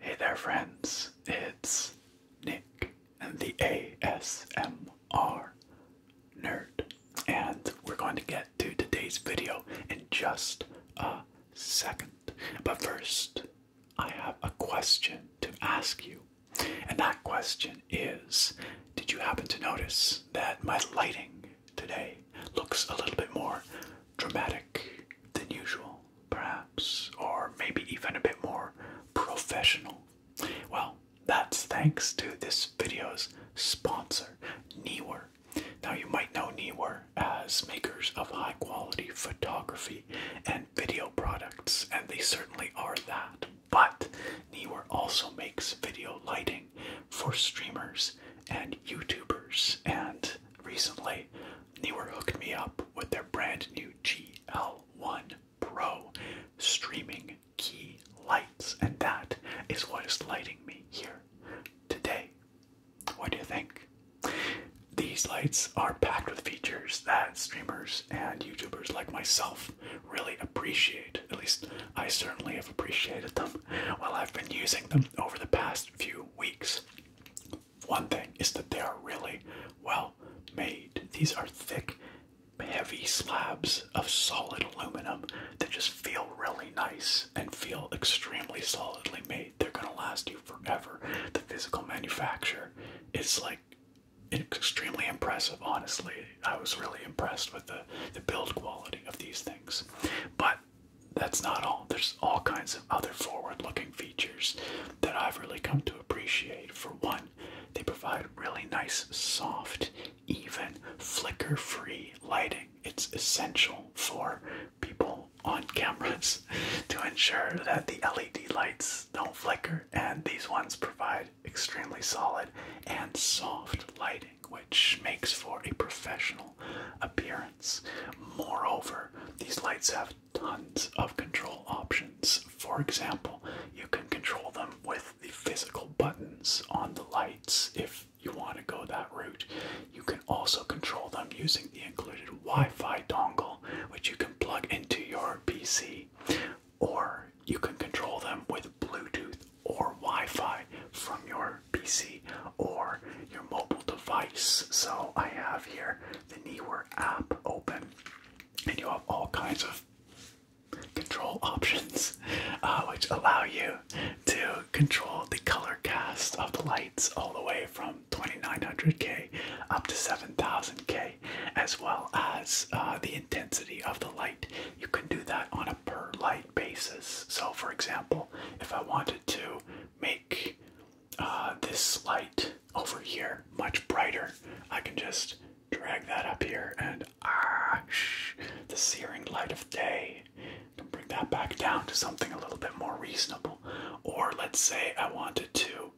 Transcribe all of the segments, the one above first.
Hey there, friends. It's Nick and the ASMR Nerd, and we're going to get to today's video in just a second. But first, I have a question to ask you, and that question is Did you happen to notice that my lighting today looks a little bit more dramatic than usual, perhaps, or maybe even a bit more professional. Well, that's thanks to this video's sponsor, Neewer. Now, you might know Neewer as makers of high quality photography and video products, and they certainly are that. But Neewer also makes video lighting for streamers and YouTubers, and recently Neewer hooked me up with their brand new GL1 Pro streaming key lights, and that is what is lighting me here today. What do you think? These lights are packed with features that streamers and YouTubers like myself really appreciate. At least I certainly have appreciated them while I've been using them over the past few weeks one thing is that they are really well made. These are thick, heavy slabs of solid aluminum that just feel really nice and feel extremely solidly made. They're going to last you forever. The physical manufacture is like extremely impressive, honestly. I was really impressed with the, the build quality of these things. But that's not all. There's all kinds of other forward looking features that I've really come to appreciate. For one, they provide really nice, soft, even flicker free lighting. It's essential for people on cameras to ensure that the LED lights don't flicker, and these ones provide extremely solid and soft lighting. Which makes for a professional appearance. Moreover, these lights have tons of control options. For example, you can control them with the physical buttons on the lights if you want to go that route. You can also control them using the included Wi Fi dongle, which you can plug into your PC, or you can control them with Bluetooth or Wi Fi from your PC or your mobile device. So I have here the Neewer app open, and you have all kinds of control options uh, which allow you to control the color cast of the lights all the way from 2900K up to 7000K, as well as uh, the intensity of the light. You can do that on a per light basis. So, for example, if I wanted to make uh, this light over here much brighter. I can just drag that up here and ah, the searing light of day. bring that back down to something a little bit more reasonable. Or let's say I wanted to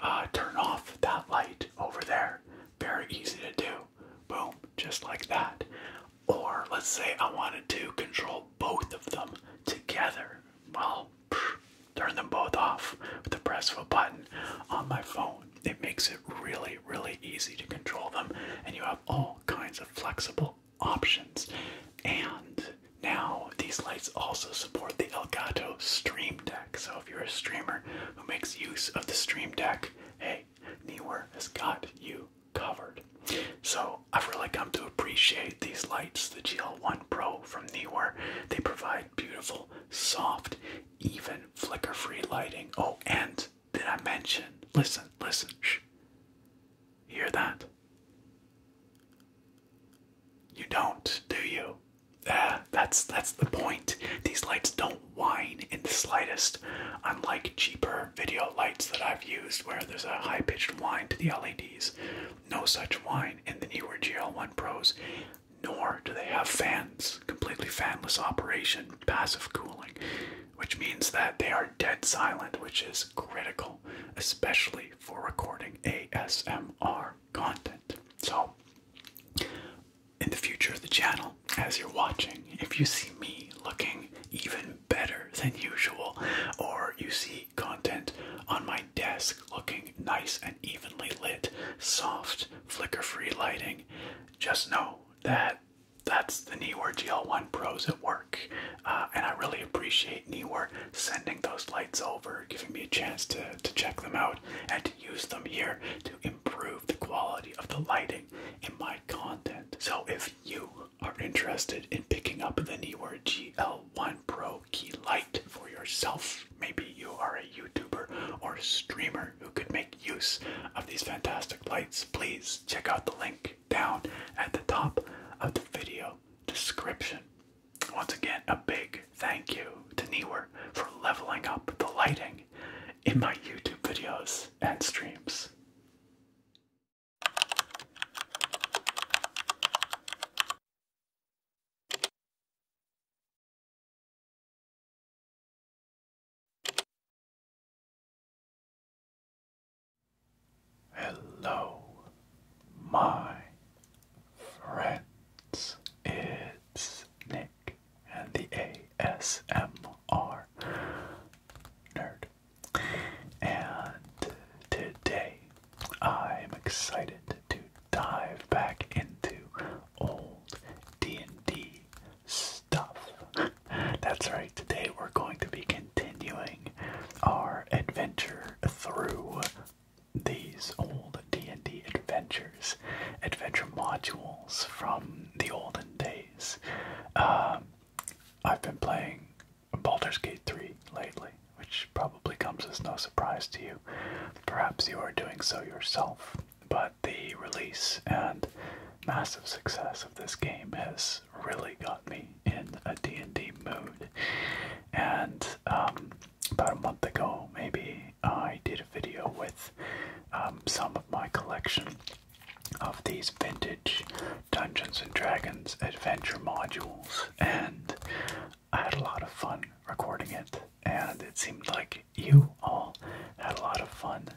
uh, turn off that light over there. Very easy to do. Boom, just like that. Or let's say I wanted to control both of them together. Well, turn them both off with the press of a button on my phone. It makes it really, really easy to control them, and you have all kinds of flexible options. And now these lights also support the Elgato Stream Deck. So if you're a streamer who makes use of the Stream Deck, hey, Neewer has got you covered. So I've really come to appreciate these lights, the GL1 Pro from Neewer. They provide beautiful, soft, even flicker-free lighting. Oh, and did I mention? Listen, listen. Shh. Hear that? You don't, do you? Uh, that's that's the point. These lights don't whine in the slightest, unlike cheaper video lights that I've used, where there's a high-pitched whine to the LEDs no such wine in the newer GL1 Pros, nor do they have fans. Completely fanless operation, passive cooling, which means that they are dead silent, which is critical, especially for recording ASMR content. So, in the future of the channel, as you're watching, if you see me looking even better than usual, or you see content on my desk looking nice and evenly lit, soft, flicker free lighting, just know that that's the Neewer GL1 Pros at work. Uh, and I really appreciate Neewer sending those lights over, giving me a chance to, to check them out and to use them here to improve the quality of the lighting in my content. So if you are interested in picking up the Neewer GL one Pro key light for yourself. Maybe you are a YouTuber or streamer who could make use of these fantastic lights. Please check out the link down at the top of the video description. Once again, a big thank you to Neewer for leveling up the lighting in my YouTube videos and streams. Hello, my friends. It's Nick and the ASMR Nerd. And today I'm excited to dive back into old D&D stuff. That's right, today we're going to be continuing our adventure through these old D&D adventures, adventure modules from the olden days. Um, I've been playing Baldur's Gate 3 lately, which probably comes as no surprise to you. Perhaps you are doing so yourself. But the release and massive success of this game has really got me in a D&D mood. And um, about a month ago, maybe, I did a video with um, some of my collection of these vintage Dungeons and Dragons adventure modules, and I had a lot of fun recording it, and it seemed like you all had a lot of fun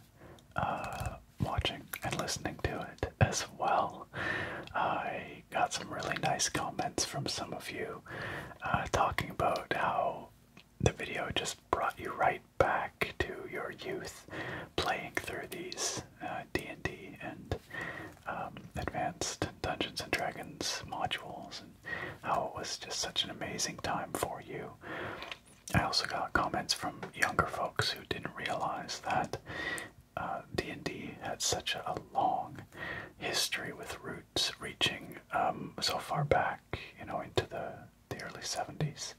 uh, watching and listening to it as well. I got some really nice comments from some of you uh, talking about how the video just brought you right back to your youth playing through these d&d uh, &D and d and um, advanced Dungeons and Dragons modules and how it was just such an amazing time for you. I also got comments from younger folks who didn't realize that D&D uh, had such a long history with roots reaching um, so far back, you know, into the, the early 70s.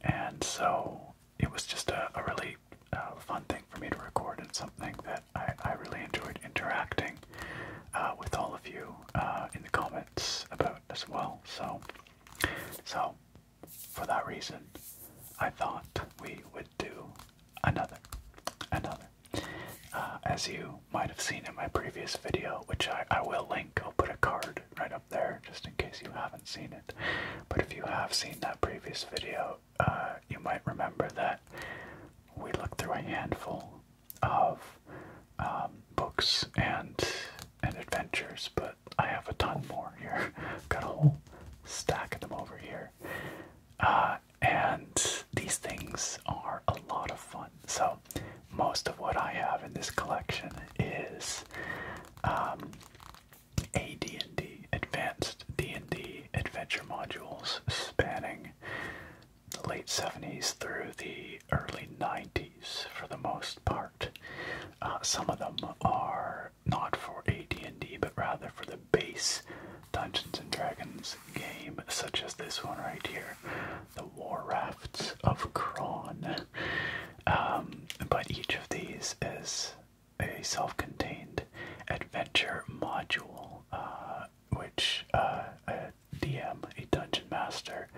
And so it was just a, really uh, fun thing for me to record and something that I, I really enjoyed interacting uh, with all of you uh, in the comments about as well. So, so for that reason, I thought we would do another, another. Uh, as you might have seen in my previous video, which I, I will link, I'll put a card right up there just in case you haven't seen it. But if you have seen that previous video, uh, you might remember that we looked through a handful of um, books and and adventures, but I have a ton more here. I've got a whole stack of them over here, uh, and these things are a lot of fun. So most of what I have in this collection is um, AD&D advanced D&D adventure modules spanning the late 70s through the early 90s for the most part. Uh, some of them are not for AD&D but rather for the base Dungeons & Dragons game such as this one right here, The War Rafts of Kron. Um, but each of these is a self-contained adventure module, uh, which uh, a DM, a dungeon master,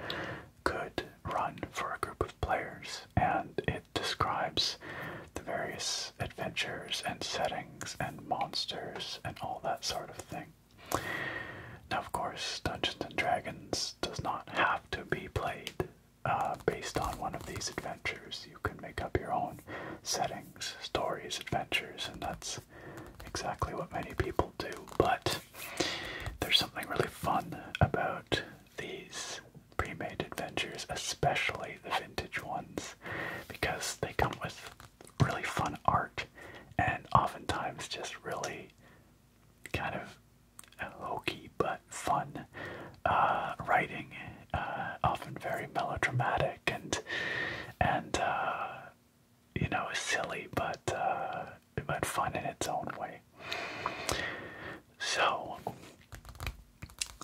could run for a group of players, and it describes the various adventures and settings and monsters and all that sort of thing. Now, of course, Dungeons and Dragons does not have to be played uh, based on one of these adventures. You can make up your own setting stories, adventures, and that's exactly what many people do. But there's something really fun about these pre made adventures, especially the vintage ones, because they come with really fun art and oftentimes just really kind of hokey but fun uh, writing uh, often very melodramatic and and uh, you know silly, but uh, but fun in its own way. So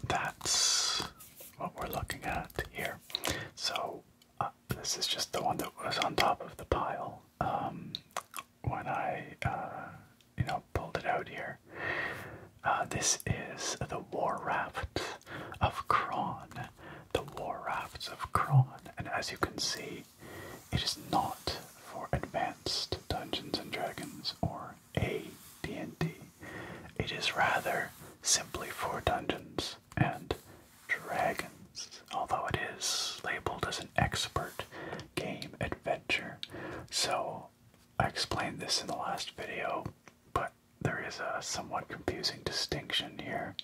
that's what we're looking at here. So this is just the one that was on top of the pile um, when I you know pulled it out here. Uh, this is the War Raft of Kron. The War of Kron. And as you can see, it is not for advanced Dungeons and Dragons or AD&D. It is rather simply for Dungeons and Dragons, although it is labeled as an expert game adventure. So I explained this in the last video, but there is a somewhat confusing distinction here.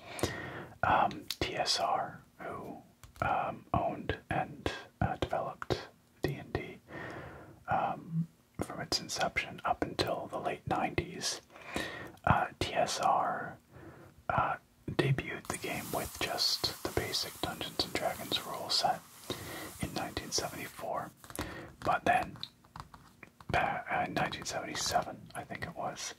Um, TSR, who um, owned and uh, developed D&D um, from its inception up until the late 90s, uh, TSR uh, debuted the game with just the basic Dungeons and Dragons rule set in 1974, but then uh, 1977, I think it was,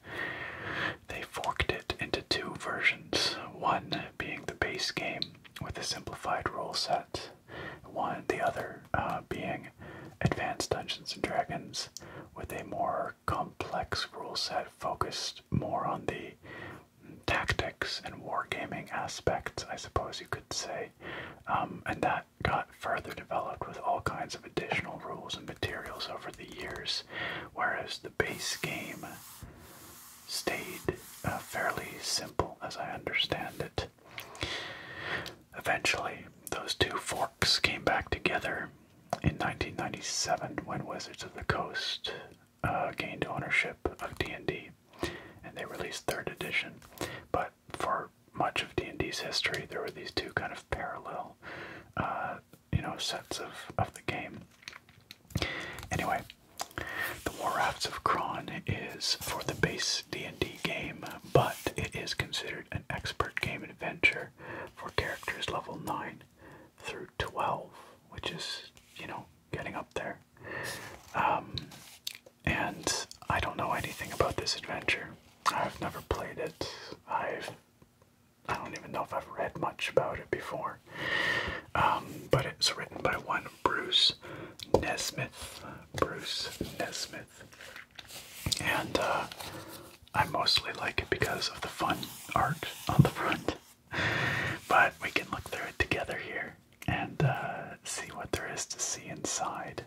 they forked it into two versions. One being the base game with a simplified rule set, one the other uh, being Advanced Dungeons and Dragons with a more complex rule set focused more on the tactics and wargaming aspects, I suppose you could say. Um, and that got further developed with all kinds of additional rules and materials over the years, whereas the base game stayed uh, fairly simple as I understand it. Eventually, those two forks came back together in 1997 when Wizards of the Coast uh, gained ownership of D&D and they released third edition. But for much of D&D's history, there were these two kind of parallel, uh, you know, sets of, of the game. Anyway, the Warcrafts of Kron is for the base D&D game, but it is considered an expert game adventure for characters level 9 through 12, which is, you know, getting up there. Um, and I don't know anything about this adventure. I've never played it. I've I don't even know if I've read much about it before. Um, but it's written by one Bruce Nesmith. Bruce Nesmith. And uh, I mostly like it because of the fun art on the front. But we can look through it together here and uh, see what there is to see inside.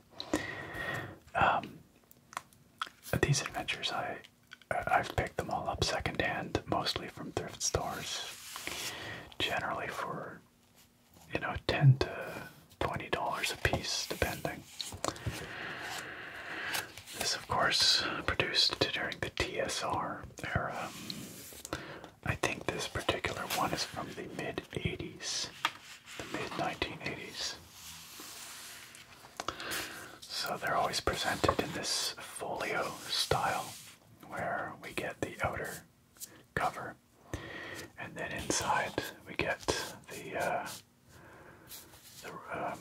Um, these adventures, I I've picked them all up secondhand, mostly from thrift stores, generally for you know ten to twenty dollars a piece, depending. This, of course, produced during the TSR era. I think this particular one is from the mid '80s the mid 1980s. So they're always presented in this folio style where we get the outer cover and then inside we get the, uh, the um,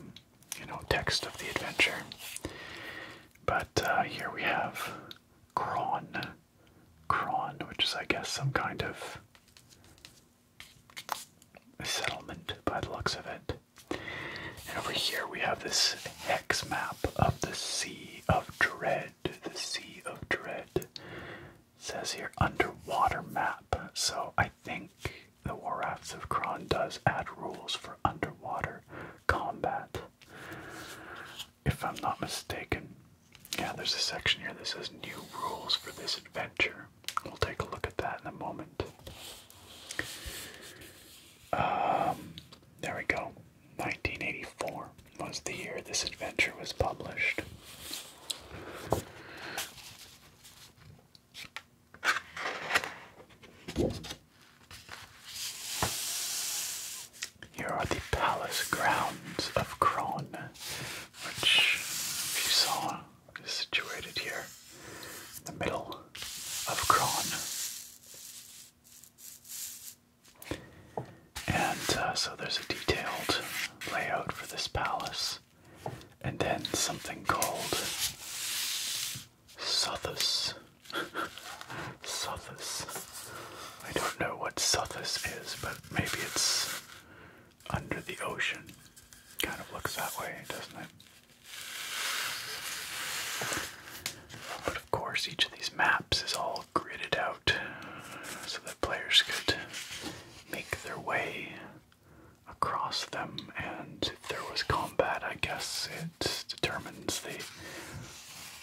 you know text of the adventure. But uh, here we have Kron, Kron, which is I guess some kind of a settlement by the looks of it. And over here we have this hex map of the Sea of Dread. The Sea of Dread says here underwater map. So I think the War Rafts of Kron does add rules for underwater combat, if I'm not mistaken. Yeah, there's a section here that says new rules for this adventure. We'll take a look at that in a moment. Um, there we go. 1984 was the year this adventure was published. Here are the palace grounds of Kron, which, you saw, is situated here in the middle of Kron. And uh, so there's a detailed layout for this palace, and then something called Sothis. Sothis. I don't know what Sothis is, but maybe it's under the ocean. Kind of looks that way, doesn't it? But of course, each of these maps is all gridded out so that players could make their way across them. And if there was combat, I guess it determines the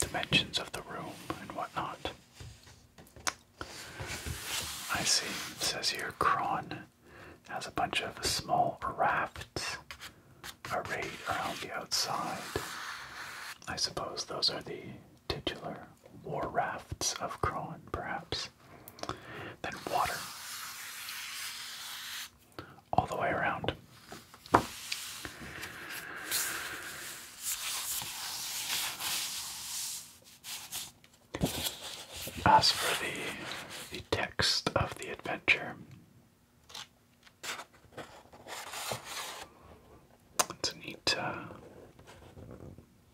dimensions of the room and whatnot. I see. It says here Kron has a bunch of small rafts arrayed around the outside. I suppose those are the titular war rafts of Kron, perhaps. Then water. All the way around. As for the the text of the adventure, it's a neat uh,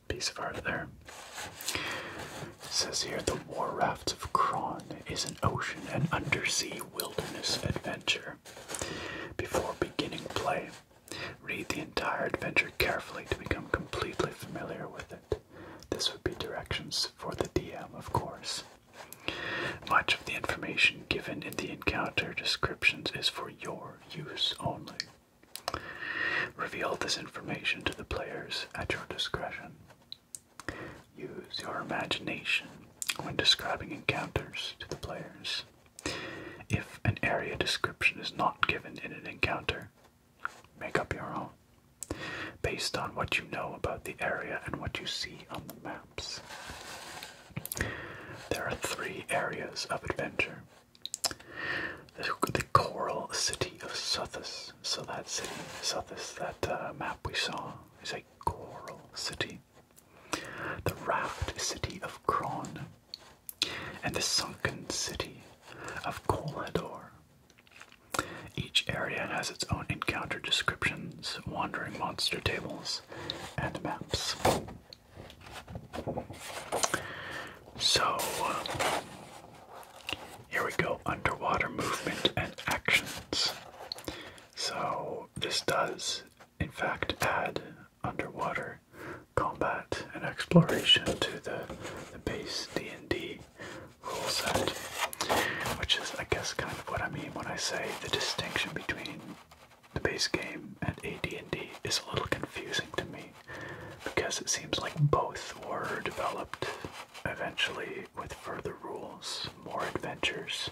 piece of art there. says here the War Raft of Kron is an ocean and undersea wilderness adventure. Before beginning play, Read the entire adventure carefully to become completely familiar with it. This would be directions for the DM, of course. Much of the information given in the encounter descriptions is for your use only. Reveal this information to the players at your discretion. Use your imagination when describing encounters to the players. If an area description is not given in an encounter, Make up your own based on what you know about the area and what you see on the maps. There are three areas of adventure. The, coral city of Suthis. So that city, Suthis, that uh, map we saw is a coral city. The raft city of Kron and the sunken city of Colador. Each area has its own encounter descriptions, wandering monster tables, and maps. So, uh, here we go underwater movement and actions. So, this does, in fact, add underwater combat and exploration to the, base D&D rule set, which is, I guess, kind of what I mean when I say the distinction between the base game and AD&D is a little confusing to me because it seems like both were developed eventually with further rules, more adventures.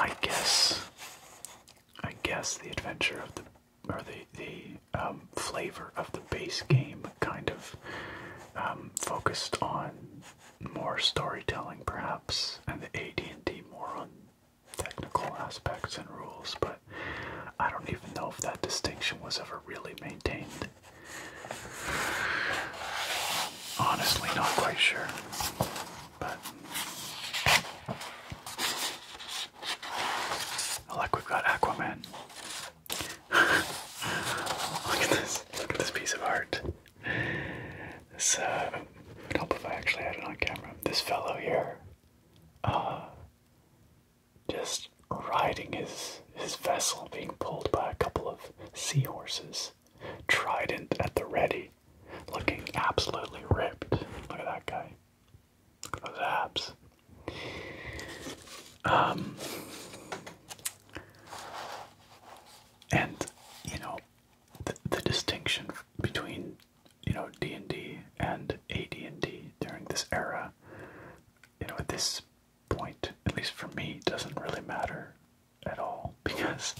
I guess I guess the adventure of the or the the um, flavor of the base game kind of um, focused on more storytelling, perhaps, and the AD&D more on technical aspects and rules. But I don't even know if that distinction was ever really maintained. Honestly, not quite sure. But Oh, we've got Aquaman. look at this. Look at this piece of art. This, uh, would help if I actually had it on camera. This fellow here, uh, just riding his his vessel, being pulled by a couple of seahorses, trident at the ready, looking absolutely ripped. Look at that guy. Those abs. Um, and you know, the, distinction between you know D and D and AD and D during this era, you know, at this point, at least for me, doesn't really matter at all because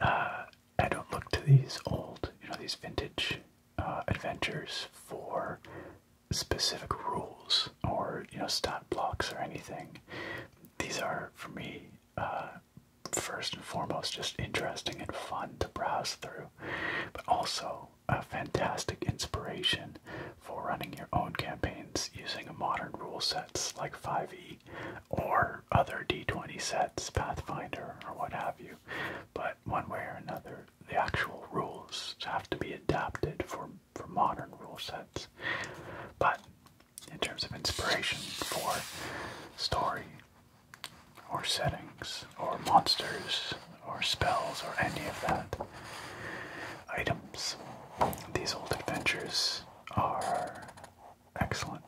uh, I don't look to these old, you know, these vintage uh, adventures for specific rules or you know stat blocks or anything. These are for me uh, first and foremost just interesting and fun to browse through, but also a fantastic inspiration for running your own campaigns using modern rule sets like 5e or other d20 sets, Pathfinder or what have you. But one way or another, the actual rules have to be adapted for for modern rule sets. But in terms of inspiration for story or settings or monsters or spells or any of that items, these old adventures are excellent.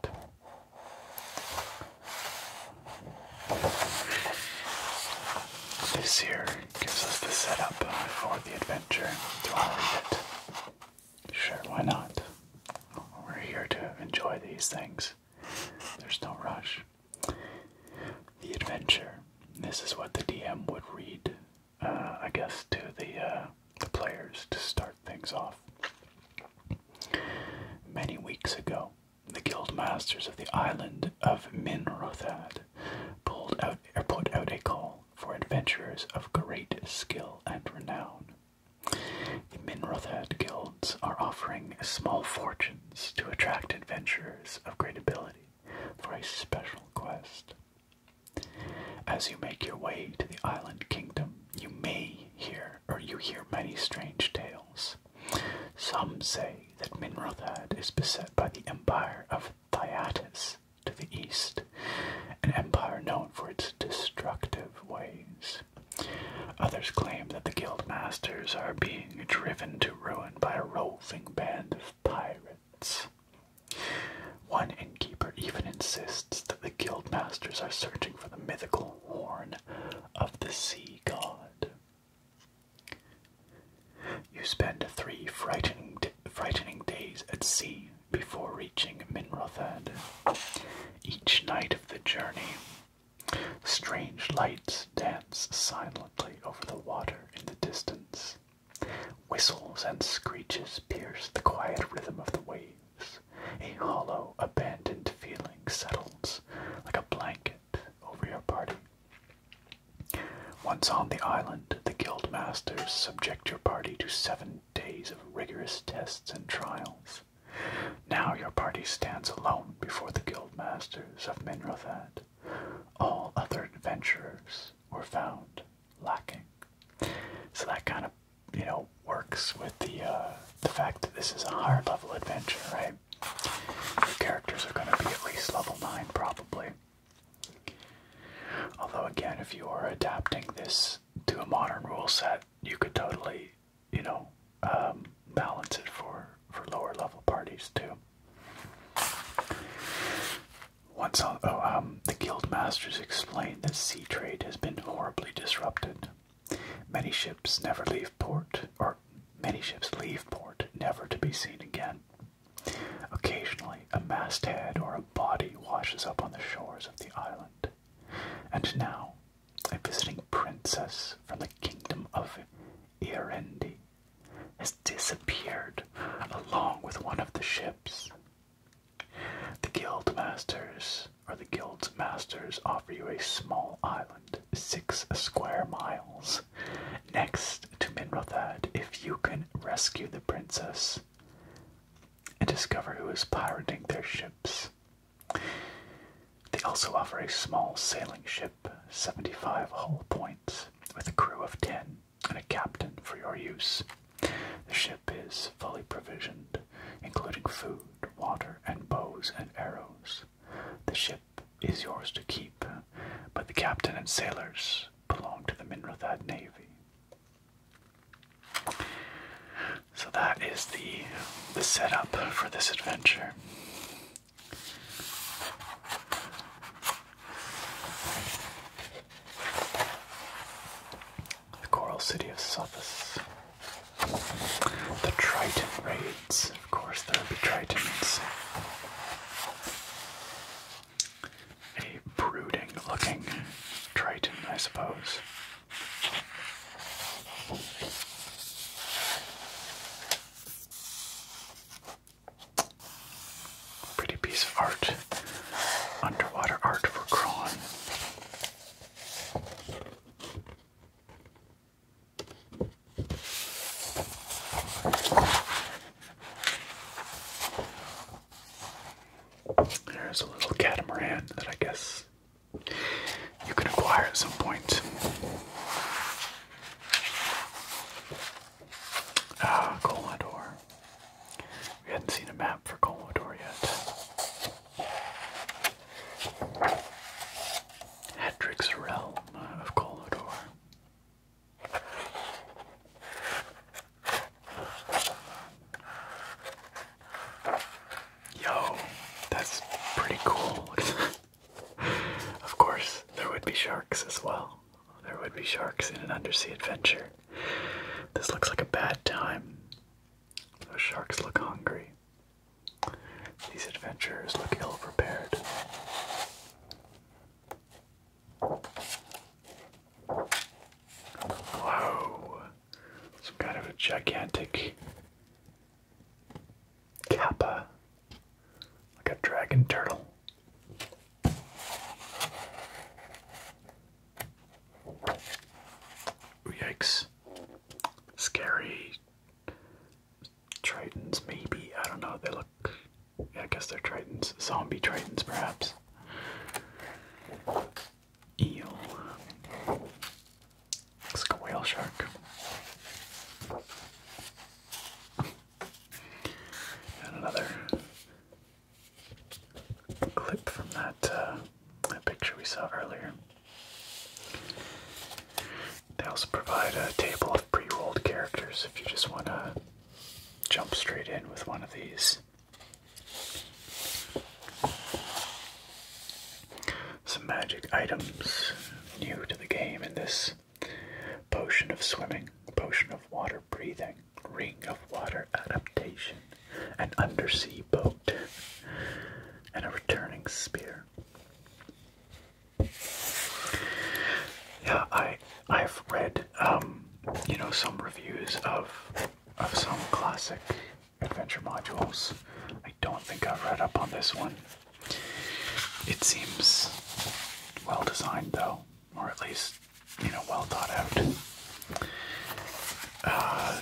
This here gives us the setup for the adventure. Do I read it? Sure, why not? We're here to enjoy these things. There's no rush. The adventure. This is what the DM would read, uh, I guess, to the, uh, the players to start things off. Many weeks ago, the guild masters of the island of Minrothad pulled out or er, put out a call for adventurers of great skill and renown. The Minrothad guilds are offering small fortunes to attract adventurers of great ability for a special quest. As you make your way to the island kingdom, you may hear or you hear many strange tales some say that Minrothad is beset by the empire of Thyattis to the east, an empire known for its destructive ways. Others claim that the guild masters are being driven to ruin by a roving band of pirates. One innkeeper even insists that the guild masters are searching for the mythical horn of the sea god. You spend three frightening, days at sea before reaching Minrothad. Each night of the journey, strange lights dance silently over the water in the distance. Whistles and screeches pierce the quiet rhythm of the waves. A hollow, abandoned feeling settles like a blanket over your party. Once on the island, the guild masters subject your party to seven days of rigorous tests and trials. Now your party stands alone before the guild masters of Minrothad. All other adventurers were found lacking. So that kind of, you know, works with the uh, the fact that this is a hard level adventure, right? Your characters are going to be at least level 9 probably. Although again, if you are adapting this to a modern rule set, you could totally, you know, um, balance it for, for lower level parties too. Once oh, um, the guild masters explain that sea trade has been horribly disrupted. Many ships never leave port or many ships leave port, never to be seen again. Occasionally, a masthead or a body washes up on the shores of the island. And now, a visiting princess from the kingdom of Irendi has disappeared along with one of the ships. The guild masters or the guild's masters offer you a small island, six square miles, Next to Minrothad, if you can rescue the princess and discover who is pirating their ships. They also offer a small sailing ship, 75 hull points, with a crew of 10 and a captain for your use. The ship is fully provisioned, including food, water, and bows and arrows. The ship is yours to keep, but the captain and sailors belong to the Minrothad Navy. So that is the the setup for this adventure. The Coral City of Sothis. The Triton Raids of course, there would be Tritons. A brooding looking Triton, I suppose. Pretty piece of art. Underwater art for Kron. There's a little catamaran that I guess you can acquire at some point. Ah, We have not seen a map for Colador yet. Hedrick's of Colador. Yo, that's pretty cool. of course, there would be sharks as well. There would be sharks in an undersea adventure. This looks like a bad time. Those sharks look hungry. These adventurers look ill prepared. Whoa! Some kind of gigantic kappa, like a dragon turtle. yikes! Scary Tritons, maybe. I don't know. They look. Yeah, I guess they're Tritons. Zombie Tritons, perhaps. Eel. Looks like a whale shark. And another clip from that uh, picture we saw earlier. They also provide a table of pre rolled characters if you just want to jump straight in with one of these. Some magic items new to the game in this potion of swimming, potion of water breathing, ring of water adaptation, an undersea boat, and a returning spear. Yeah, I I've read um, you know some reviews of of some classic adventure modules. I don't think I've read up on this one. It seems well designed though, or at least you know well thought out. Uh,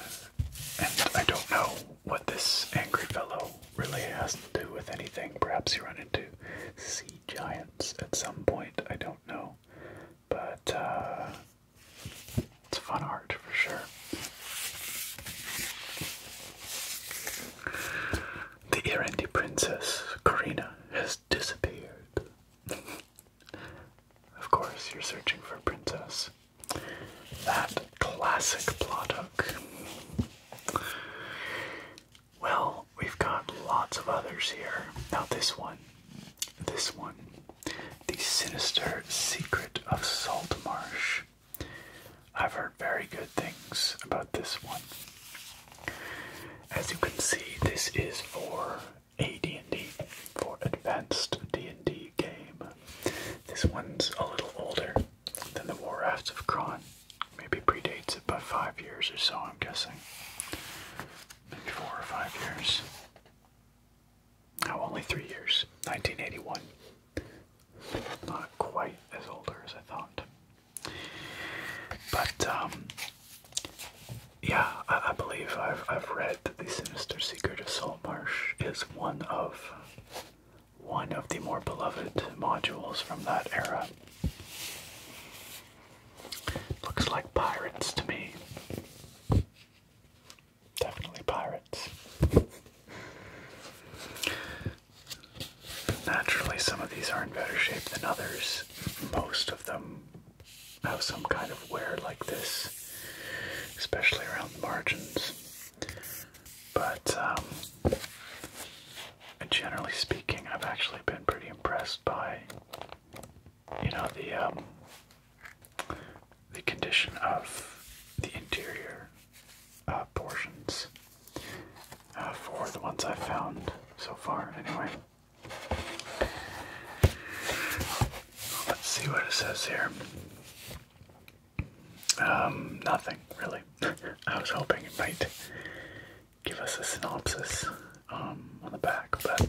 and I don't know what this angry fellow really has to do with anything. Perhaps you run into sea giants at some point, I don't know. But uh, it's fun art for sure. The Irindi princess, Karina, has disappeared. of course, you're searching for a princess. That classic plot hook. Well, we've got lots of others here. Now, this one. This one. The Sinister Secret of Salt Marsh. I've heard very good things about this one. As you can see, this is for AD&D, for Advanced D&D game. This one's a little older. Then the war rafts of Kron. Maybe predates it by five years or so, I'm guessing. Maybe four or five years. Now only three years. 1981. Not quite as older as I thought. But, um, yeah, I, believe I've, I've read that the Sinister Secret of Soul Marsh is one of one of the more beloved modules from that era. Looks like pirates to me. Definitely pirates. Naturally, some of these are in better shape than others. Most of them have some kind of wear like this, especially around the margins. But um, generally speaking, I've actually been pretty impressed by, you know, the um, the condition of the interior uh, portions uh, for the ones I've found so far. Anyway, let's see what it says here. Um, nothing really. I was hoping it might give us a synopsis um, on the back, but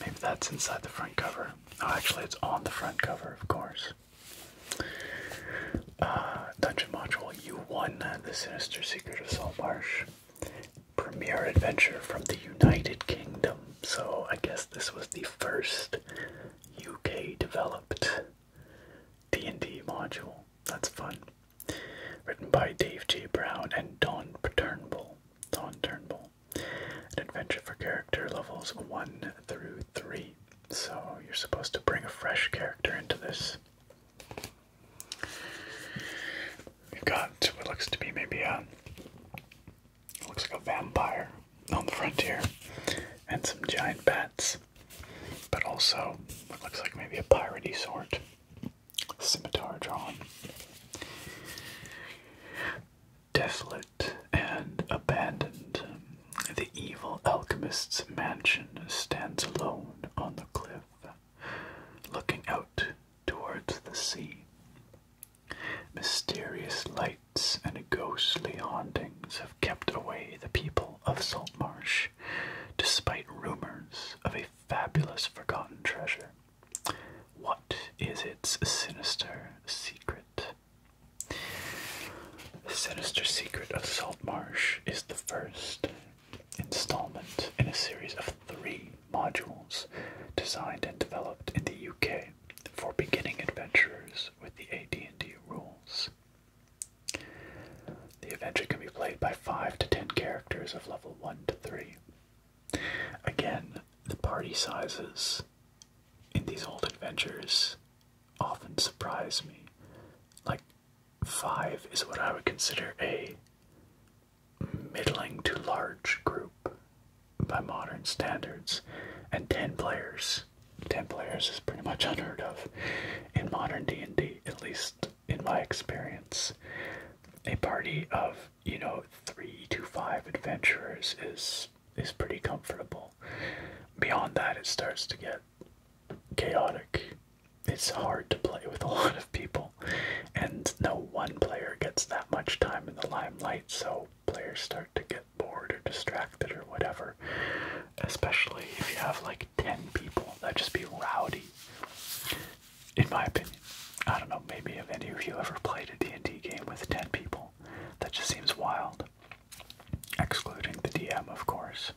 maybe that's inside the front cover. Oh, actually, it's on the front cover, of course. Uh, dungeon Module, you won the sinister secret of Saltmarsh. Premier adventure from the United Kingdom. So I guess this was the first UK developed D&D module. That's fun. Written by Dave J. Brown and Don Turnbull. Don Turnbull. An adventure for character levels 1 through 3. So you're supposed to bring a fresh character into this. We've got what looks to be maybe a looks like a vampire on the frontier, and some giant bats. But also, what looks like maybe a piratey sort. Scimitar drawn. Desolate and abandoned, the evil alchemist's mansion stands alone on the cliff, looking out towards the sea. Mysterious lights and ghostly hauntings kept away the people of Saltmarsh, despite rumors of a fabulous forgotten treasure. What is its sinister secret? The sinister secret of Saltmarsh is the first installment in a series of three modules designed and developed in the UK for beginning adventurers with the AD&D rules. The adventure can be played by 5 to 10 characters of level 1 to 3. Again, the party sizes in these old adventures often surprise me. Like, 5 is what I would consider a middling to large group by modern standards, and 10 players. 10 players is pretty much unheard of in modern D&D, at least in my experience. A party of, you know, three to five adventurers is is pretty comfortable. Beyond that it starts to get chaotic. It's hard to play with a lot of people, and no one player gets that much time in the limelight, so players start to get bored or distracted or whatever. Especially if you have like ten people. That'd just be rowdy, in my opinion. I don't know. Maybe if any of you ever played a D and D game with ten people, that just seems wild. Excluding the DM, of course.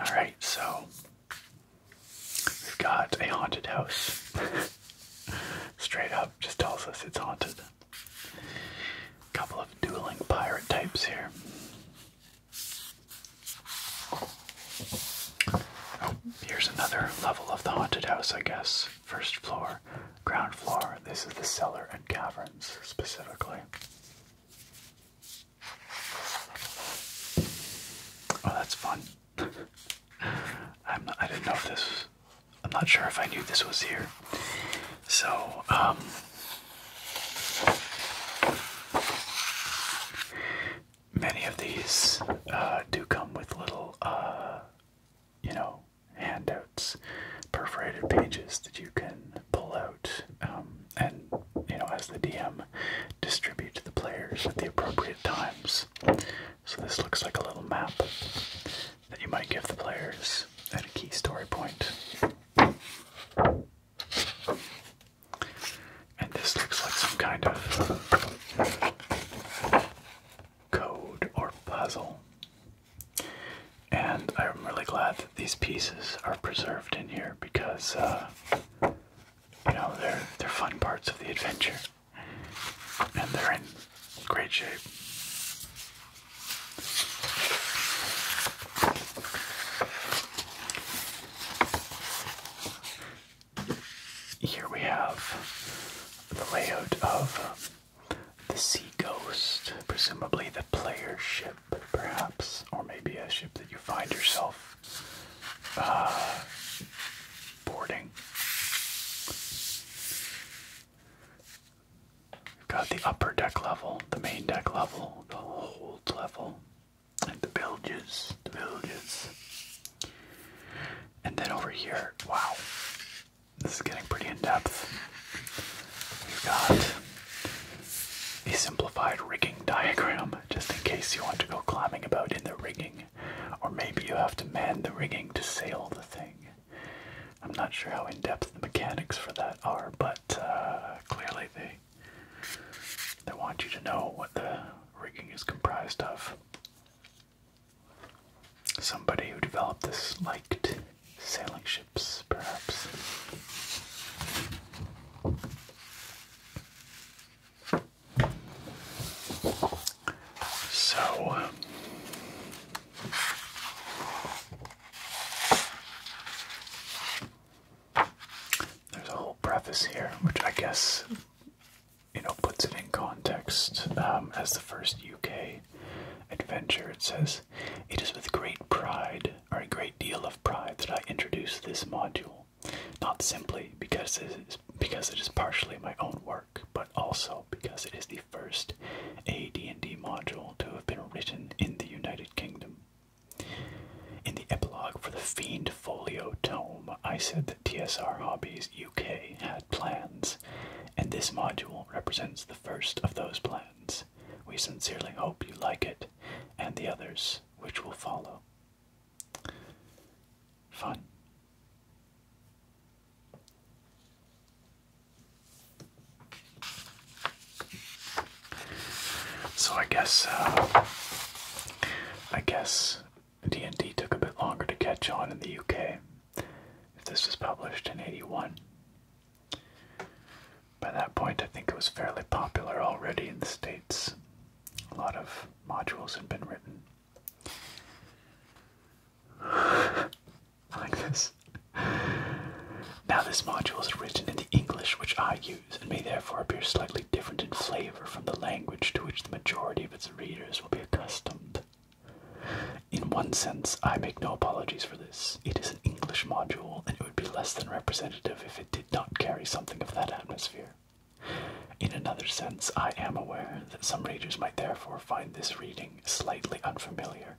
All right, so we've got a haunted house. Straight up, just tells us it's haunted. Couple of dueling pirate types here. Oh, here's another level of the haunted house, I guess. First floor, ground floor. This is the cellar and caverns specifically. Oh, that's fun. I'm I didn't know if this I'm not sure if I knew this was here. So, um, many of these uh, do come with little, uh, you know, handouts, perforated pages that you can pull out um, and, you know, as the DM, distribute to the players at the appropriate times. So this looks like a little map that you might give the players at a key story And this looks like some kind of code or puzzle. And I'm really glad that these pieces are preserved in here because, uh, you know, they're, they're fun parts of the adventure and they're in great shape. Here we have the layout of the Sea Ghost, presumably the player ship, perhaps, or maybe a ship that you find yourself uh, boarding. We've got the upper deck level, the main deck level, the hold level, and the bilges, the bilges. And then over here, wow, this is getting pretty in depth. We've got a simplified rigging diagram, just in case you want to go climbing about in the rigging, or maybe you have to man the rigging to sail the thing. I'm not sure how in depth the mechanics for that are, but uh, clearly they they want you to know what the rigging is comprised of. Somebody who developed this liked sailing ships, perhaps. So, uh, there's a whole preface here, which I guess, you know, puts it in context. Um, as the first UK adventure, it says, It is with great pride, or a great deal of pride, that I introduce this module. Not simply because it is, because it is partially my own work but also because it is the first AD&D module to have been written in the United Kingdom. In the epilogue for the Fiend Folio tome, I said that TSR Hobbies UK had plans, and this module represents the first of those plans. We sincerely hope you like it, and the others which will follow. Fun. So I guess uh, I guess D&D took a bit longer to catch on in the UK. If this was published in 81. By that point, I think it was fairly popular already in the States. A lot of modules had been written like this. Now, this module is written in the English which I use and may therefore appear slightly different in flavor from the language to which the majority of its readers will be accustomed. In one sense, I make no apologies for this. It is an English module, and it would be less than representative if it did not carry something of that atmosphere. In another sense, I am aware that some readers might therefore find this reading slightly unfamiliar.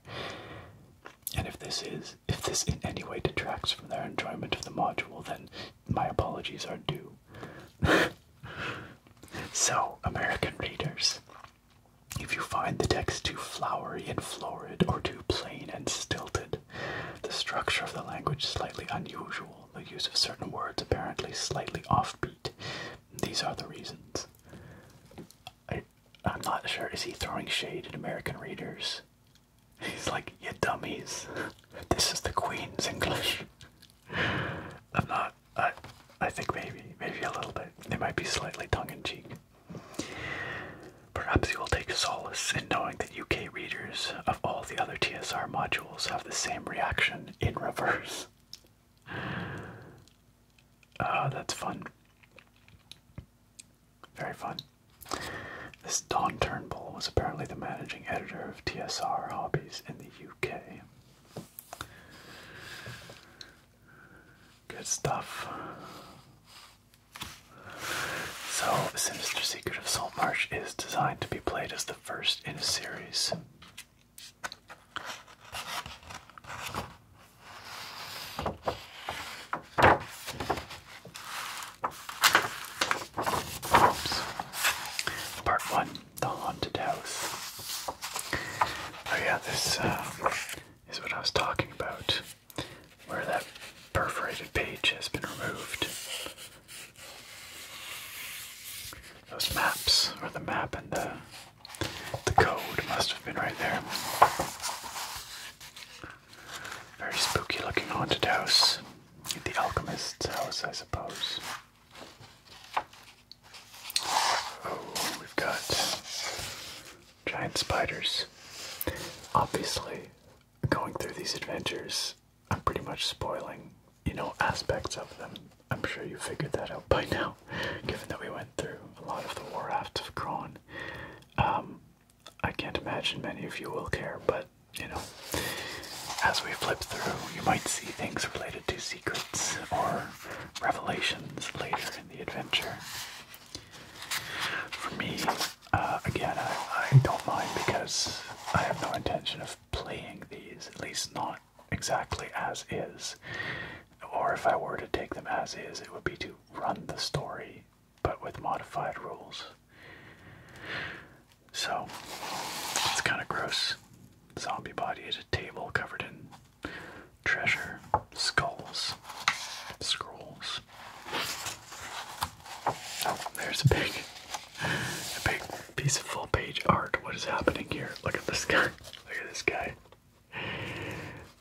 And if this is, if this in any way detracts from their enjoyment of the module, then my apologies are due. so, American readers, if you find the text too flowery and florid or too plain and stilted, the structure of the language slightly unusual, the use of certain words apparently slightly offbeat, these are the reasons. I, I'm not sure. Is he throwing shade at American readers? He's like, you dummies. This is the Queen's English. I'm not. I, I think maybe, maybe a little bit. It might be slightly tongue in cheek. Perhaps you will take solace in knowing that UK readers of all the other TSR modules have the same reaction in reverse. Ah, that's fun. Very fun. This Don Turnbull was apparently the managing editor of TSR Hobbies in the UK. Good stuff. So, Sinister Secret of Marsh is designed to be played as the first in a series. Part one, the haunted house. Oh yeah, this uh, is what I was talking about, where that perforated page has been removed. Those maps, or the map and the the code must have been right there. Very spooky looking haunted house. The alchemist's house, I suppose. Oh, we've got giant spiders. Obviously, going through these adventures, I'm pretty much spoiling, you know, aspects of them I'm sure you figured that out by now, given that we went through a lot of the Warcraft of Kron. Um, I can't imagine many of you will care, but you know, as we flip through, you might see things related to secrets or revelations later in the adventure. For me, uh, again, I, I don't mind because I have no intention of playing these, at least not exactly as is. Or if I were to take them as is, it would be to run the story, but with modified rules. So, it's kind of gross. Zombie body at a table covered in treasure, skulls, scrolls. Oh, there's a big, a big piece of full page art. What is happening here? Look at this guy. Look at this guy.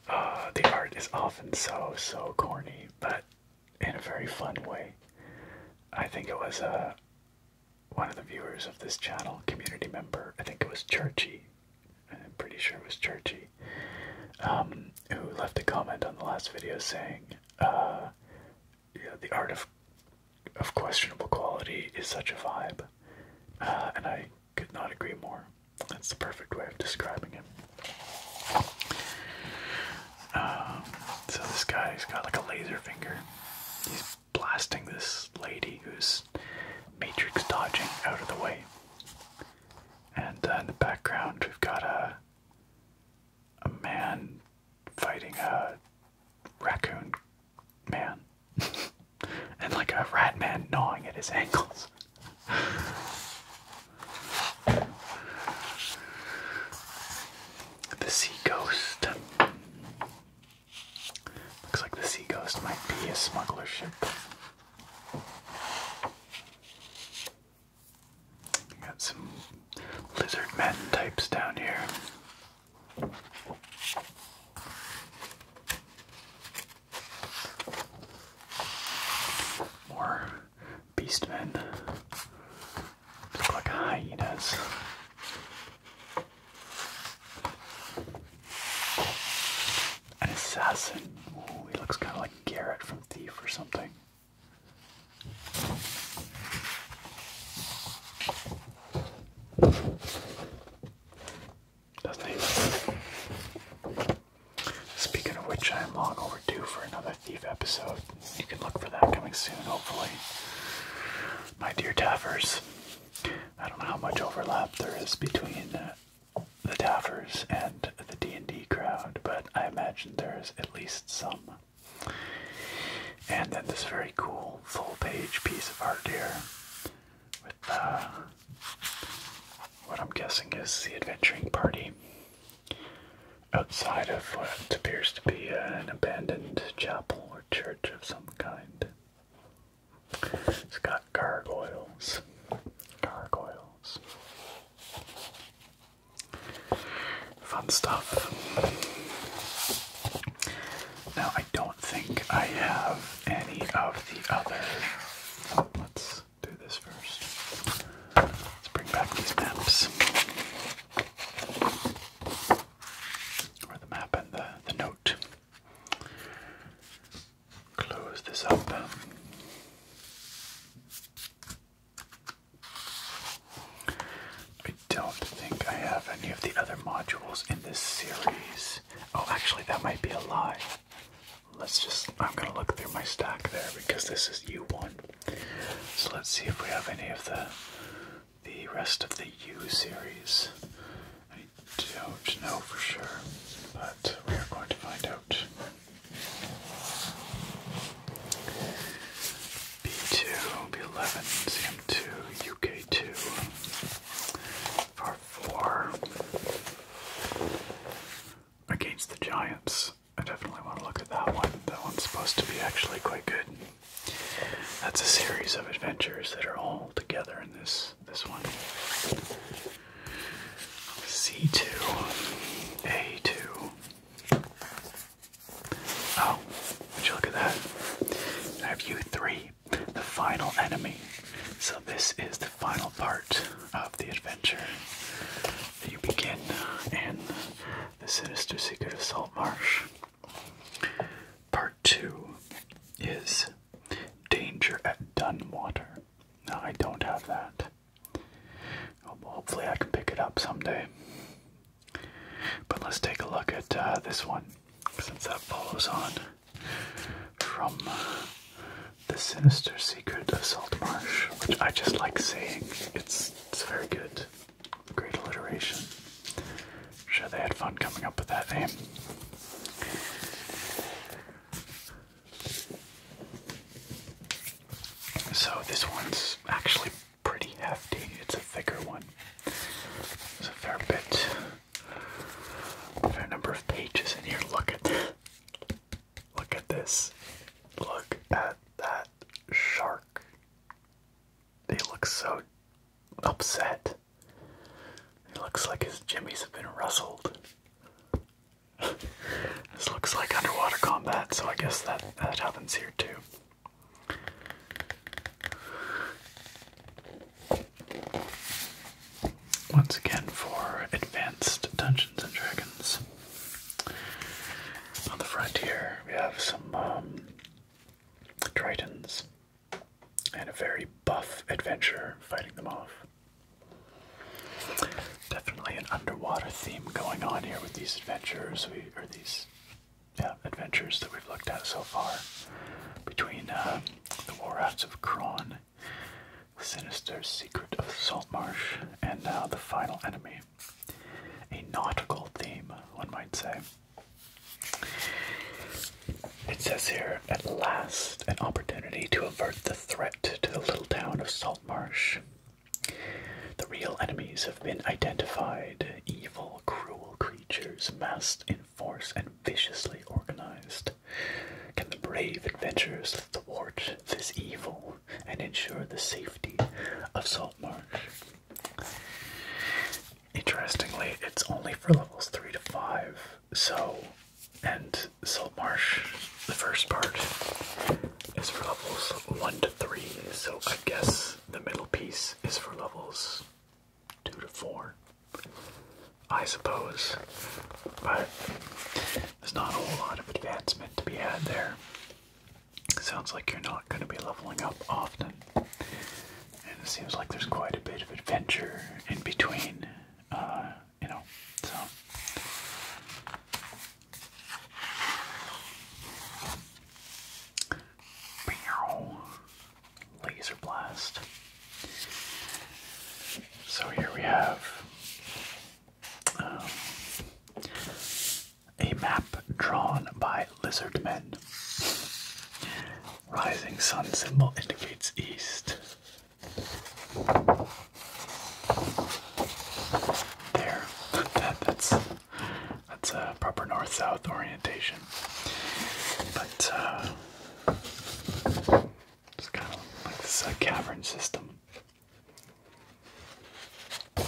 Uh, the art is often so, so corny, but in a very fun way. I think it was uh, one of the viewers of this channel, community member, I think it was Churchy, I'm pretty sure it was Churchy, um, who left a comment on the last video saying, uh, the art of, of questionable quality is such a vibe. Uh, and I could not agree more. That's the perfect way of describing it. Um, so this guy's got like a laser finger. He's blasting this lady who's matrix dodging out of the way. And uh, in the background, we've got a a man fighting a raccoon man. and like a rat man gnawing at his ankles. the sea ghost. Looks like the sea ghost might be a smuggler ship. We got some lizard men types down here. More beastmen. Look like hyenas. An assassin. Ooh, he looks kind of like Garrett from Thief or something. Speaking of which, I am long overdue for another Thief episode. You can look for that coming soon, hopefully. My dear Taffers, I don't know how much overlap there is between uh, the Taffers and the D&D crowd, but I imagine there is at least some. And then this very cool full-page piece of art here uh, what I'm guessing is the adventuring party outside of what appears to be an abandoned chapel or church of some kind. It's got gargoyles. Gargoyles. Fun stuff. Now, I don't think I have any of the other. let's do this first. Let's bring back these maps. Or the map and the, the note. Close this up. I don't think I have any of the other modules in this series. Oh, actually, that might be a lie. Let's just, I'm gonna look through my stack there because this is U1. So let's see if we have any of the the rest of the U series. I don't know for sure, but we are going to find out. B2, B11, CM2, UK2, far four against the Giants. I definitely want to look at that one. That one's supposed to be actually quite good. That's a series of adventures that are all together in this this one. C2, A2. Oh, would you look at that? I have U3 the final enemy. So, this is the final part of the adventure. You begin in the Sinister Secret of Salt Marsh. Part 2 is Danger at Dunwater. No, I don't have that. Oh, hopefully, I can pick it up someday. But let's take a look at uh, this one since that follows on from the sinister secret of salt marsh, which I just like saying. It's it's very good, great alliteration. sure, they had fun coming up with that name. So this one's actually pretty hefty. It's a thicker one. It's a fair bit there number of pages in here. Look at Look at this. Look at that shark. They look so upset. It looks like his jimmies have been rustled. this looks like underwater combat, so I guess that, that happens here too. Once again for advanced Dungeons and Dragons. On the front we have some um, Tritons and a very buff adventurer fighting them off. Definitely an underwater theme going on here with these adventures, we, or these adventures that we've looked at so far between uh, the War of Kron, The Sinister Secret of Saltmarsh, and now The Final Enemy. A nautical theme, one might say. It says here, at last, an opportunity to avert the threat to the little town of Saltmarsh. The real enemies have been identified evil, cruel creatures massed in force and viciously organized, can the brave adventurers thwart this evil and ensure the safety of Salt Marsh? Interestingly, it's only for levels 3 to 5, so, and Salt Marsh, the first part, is for levels 1 to 3, so I guess the middle piece is for levels two to four, I suppose. But there's not a whole lot of advancement to be had there. It sounds like you're not going to be leveling up often. And it seems like there's quite a bit of adventure in between, uh, you know, so. Laser Blast. So here we have um, a map drawn by lizard men. Rising sun symbol indicates east. There, that's that's a proper north-south orientation. But uh, it's kind of like this uh, cavern system. It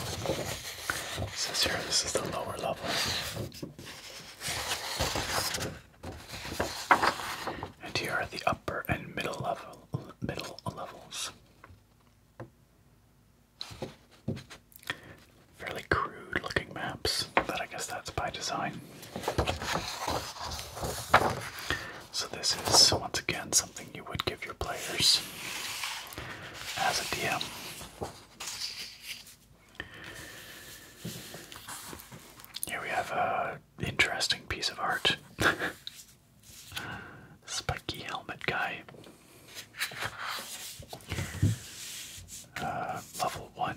says here, this is the lower level. And here are the upper and middle level middle levels. Fairly crude looking maps that's I guess that's by design. So this is once again something you would give your players as a DM. Here we have a interesting piece of art. Spiky helmet guy. Uh, level one,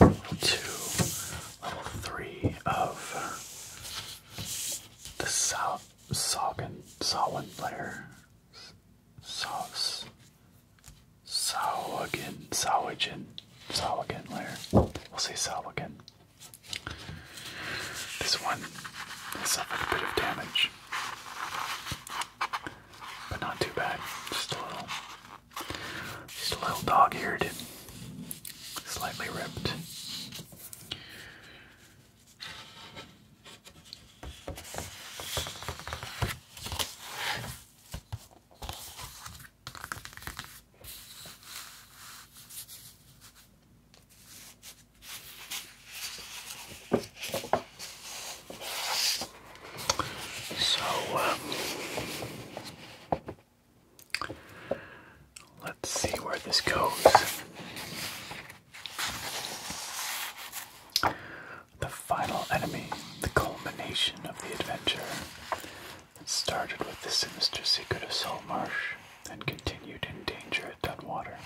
level two, level three of the south Sagan Sawin layer. Sauce. Sawagin, Sawagin, Sawagin layer. We'll say Sawagin. This one has suffered a bit of damage, but not too bad. Just a little. Just a little dog-eared, slightly ripped. So, um, Let's see where this goes. The final enemy, the culmination of the adventure. started with the sinister secret of Soul Marsh and continued in danger at Dunwater.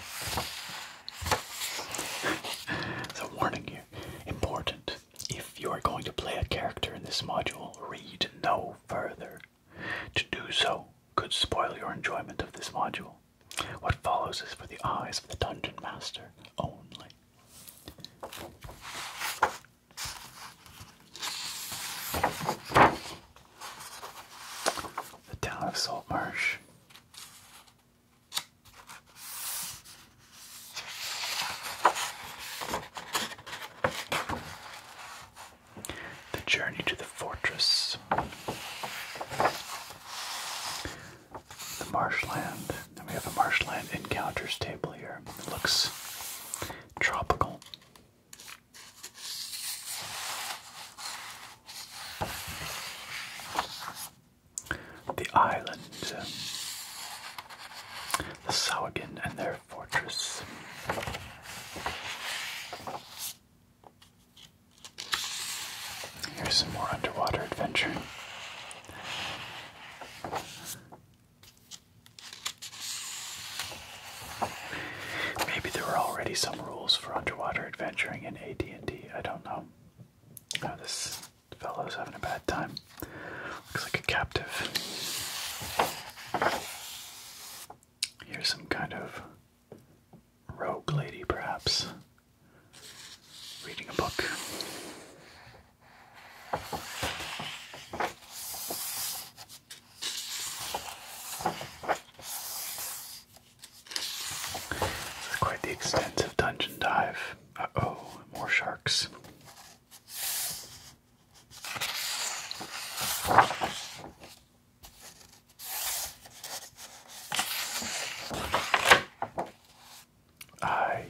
so warning you, important. If you are going to play a character in this module, read no further. To do so could spoil your enjoyment of this module. What follows is for the eyes of the dungeon master only. The town of Saltmarsh. The journey to the fortress. The marshland. And we have a marshland encounters table here. It looks tropical. The island the Sauagin and their fortress. Here's some more underwater adventure. Maybe there were already some rules for underwater adventuring in AD&D. I don't know. Oh, this fellow's having a bad time. Looks like a captive. Here's some kind of rogue lady, perhaps, reading a book. quite the extensive dungeon dive. Uh oh, more sharks. I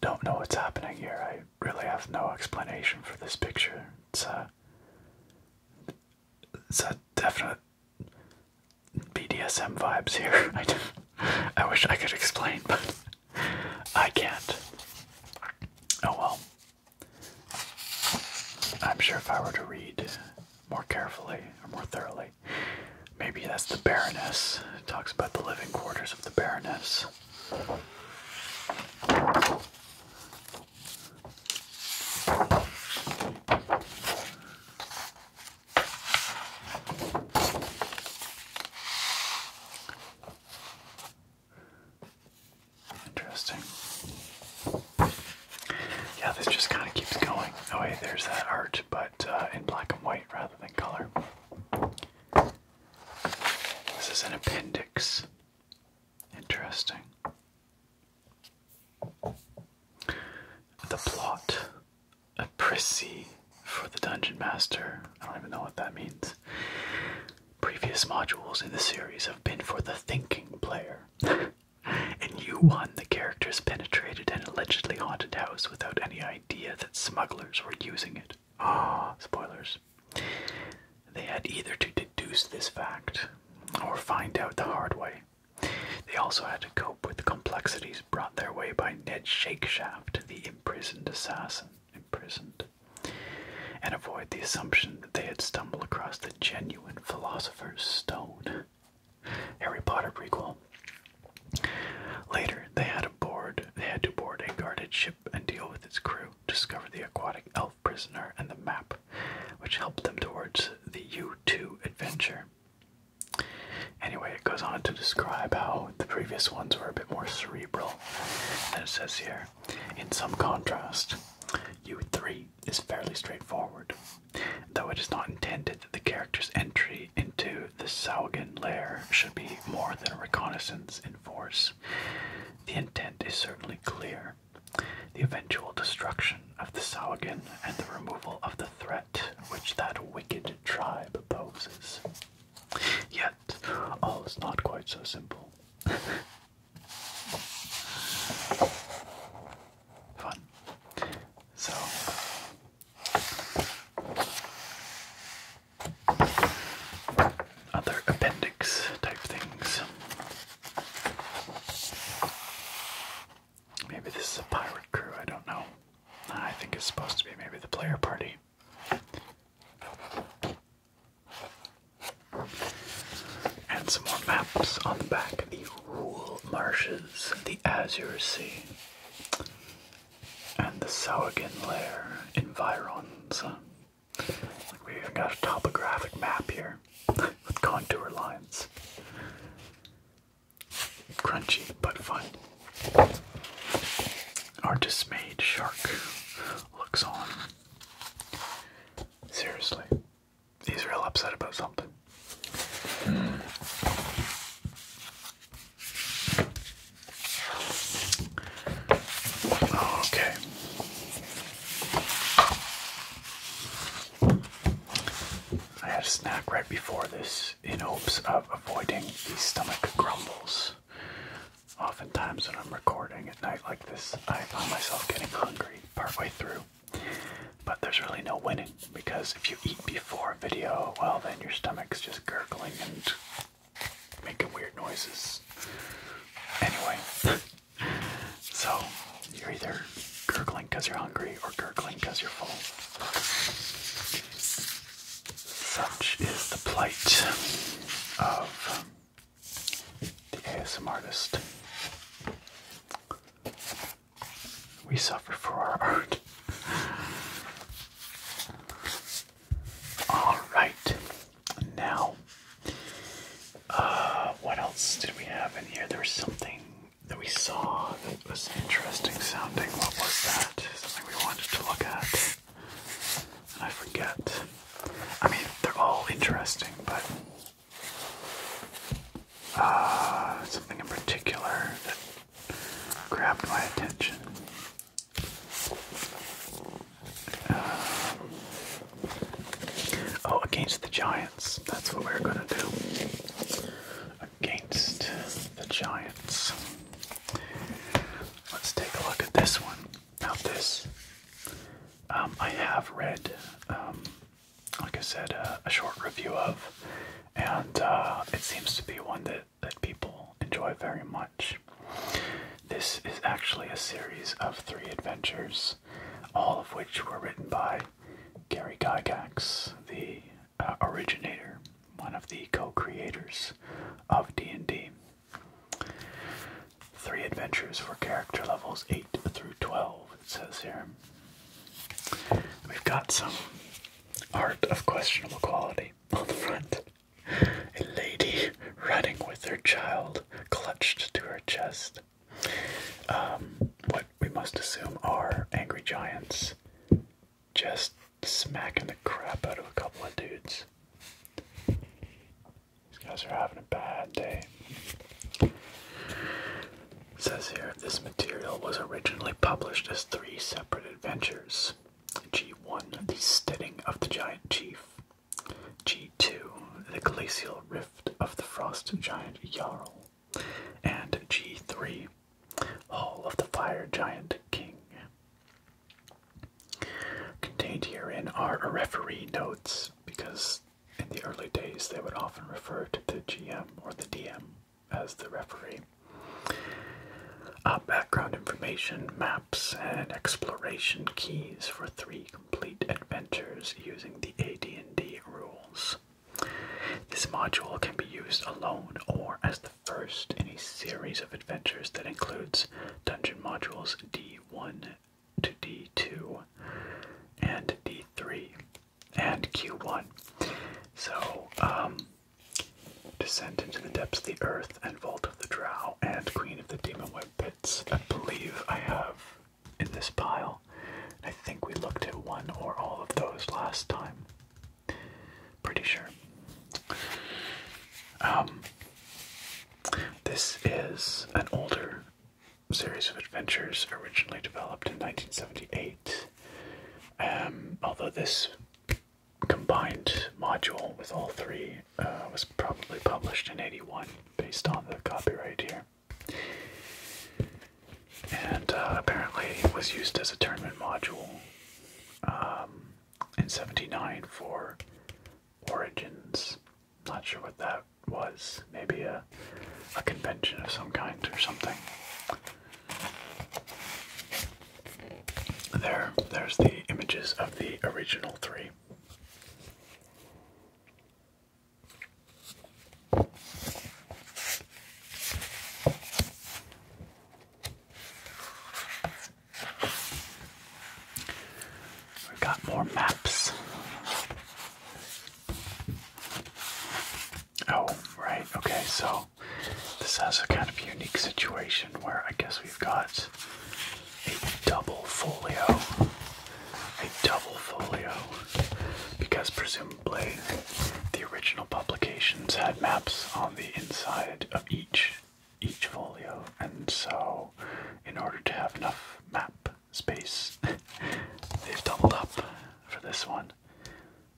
don't know what's happening here. I really have no explanation for this picture. It's a, uh, it's a definite BDSM vibes here. I, I wish I could explain, but I can't. Oh well. I'm sure if I were to read more carefully or more thoroughly, maybe that's the Baroness. It talks about the living quarters of the Baroness. Interesting. Yeah, this just kind of keeps going. Oh, hey, there's that art, but uh, in black and white rather than color. This is an appendix. Interesting. The plot. A prissy for the Dungeon Master. I don't even know what that means. Previous modules in the series have been for the thinking player. In U1, the characters penetrated an allegedly haunted house without any idea that smugglers were using it. Ah, spoilers. They had either to deduce this fact or find out the hard way. They also had to cope with the complexities brought their way by Ned Shakeshaft, the imprisoned assassin. Imprisoned and avoid the assumption that they had stumbled across the genuine philosopher's stone. Harry Potter prequel. Later, they had, board, they had to board a guarded ship and deal with its crew, discover the aquatic elf prisoner and the map, which helped them towards the U2 adventure. Anyway, it goes on to describe how the previous ones were a bit more cerebral well. it says here, in some contrast, U3 is fairly straightforward, though it is not intended that the character's entry into the Saugen lair should be more than a reconnaissance in force. The intent is certainly clear. The eventual destruction of the Saugen and the removal of the threat which that wicked tribe poses. Yet, all is not quite so simple. Fun. So, other appendix type things. Maybe this is a pirate crew, I don't know. I think it's supposed to be maybe the player party. And some more maps on the back the Rural Marshes, the Azure Sea, and the Sauergen Lair environs. Like we even got a topographic map here with contour lines. Crunchy but fun. Our dismayed shark looks on. Seriously, he's real upset about something. Okay. I had a snack right before this in hopes of avoiding the stomach grumbles Oftentimes, when I'm recording at night like this, I find myself getting hungry partway through. But there's really no winning because if you eat before video, well, then your stomach's just gurgling and making weird noises. Anyway, so you're either gurgling because you're hungry or gurgling because you're full. Such is the plight of the ASM artist. We suffer for our art. Alright, now, uh, what else did we have in here? There was something that we saw that was interesting sounding. What was that? Something we wanted to look at. I forget. I mean, they're all interesting, but uh, something in particular that grabbed my attention. Uh, oh, against the Giants. That's what we're gonna do. Against the Giants. Let's take a look at this one. Now this, um, I have read, um, like I said, uh, a short review of, and uh, it seems to be one that that people enjoy very much. This is actually a series of three adventures, all of which were written by Gary Gygax, the uh, originator, one of the co-creators of D&D. Three adventures for character levels 8 through 12, it says here. We've got some art of questionable quality on the front. A lady running with her child clutched to her chest. Um, what we must assume are angry giants just smacking the crap out of a couple of dudes. These guys are having a bad day. says here this material was originally published as three separate adventures G1, The Steading of the Giant Chief, G2, The Glacial Rift of the Frost Giant Jarl, and G3, Hall of the Fire Giant King. Contained herein are referee notes because in the early days they would often refer to the GM or the DM as the referee. Uh, background information, maps, and exploration keys for three complete adventures using the AD&D rules. This module can be used alone or as the first in a series of adventures that includes dungeon modules D1 to D2 and D3 and Q1. So, um, Descent into the Depths of the Earth and Vault of the Drow and Queen of the Demon Web Pits, I believe I have in this pile. I think we looked at one or all of those last time. Pretty sure. Um, this is an older series of adventures originally developed in 1978. Um, although this combined module with all three uh, was probably published in 81 based on the copyright here. And uh, apparently it was used as a tournament module um, in 79 for Origins. Not sure what that was. Maybe a, a convention of some kind or something. There, there's the images of the original three. We've got more maps. Oh, right. Okay, so this has a kind of unique situation where I guess we've got a double folio. A double folio. Because presumably the original publications had maps on the inside of each each folio, and so in order to have enough map space, they've doubled up for this one.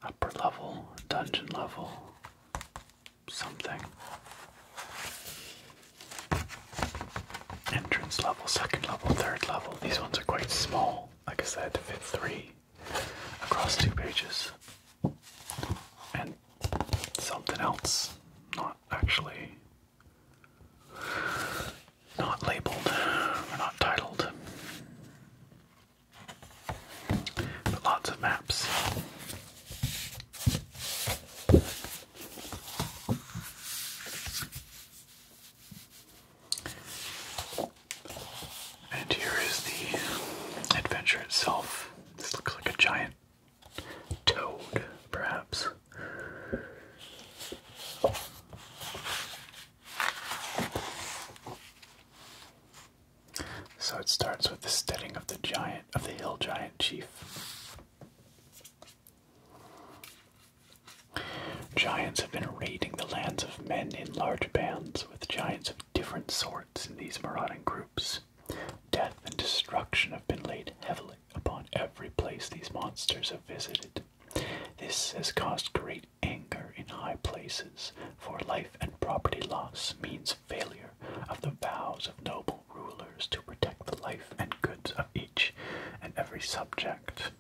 Upper level, dungeon level, something. Entrance level, second level, third level. These ones are quite small. Like I said, to fit three across two pages something else, not actually not labeled or not titled. But lots of maps. And here is the adventure itself. This looks like a giant Toad, perhaps. So it starts with the steading of the giant of the hill giant chief. Giants have been raiding the lands of men in large bands, with giants of different sorts in these marauding groups, Death and destruction have been laid heavily upon every place these monsters have visited. This has caused great anger in high places, for life and property loss means failure of the vows of noble rulers to protect the life and goods of each and every subject,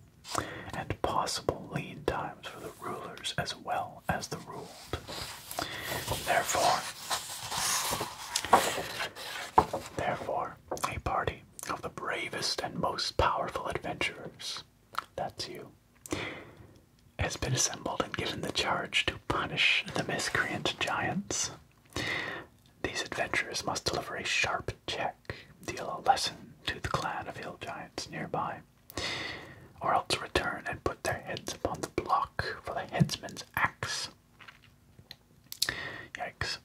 and possible lean times for the rulers as well as the ruled. Therefore, therefore, a party of the bravest and most powerful adventurers, that's you, has been assembled and given the charge to punish the miscreant giants. These adventurers must deliver a sharp check, deal a lesson to the clan of hill giants nearby, or else return and put their heads upon the block for the headsman's axe Yikes.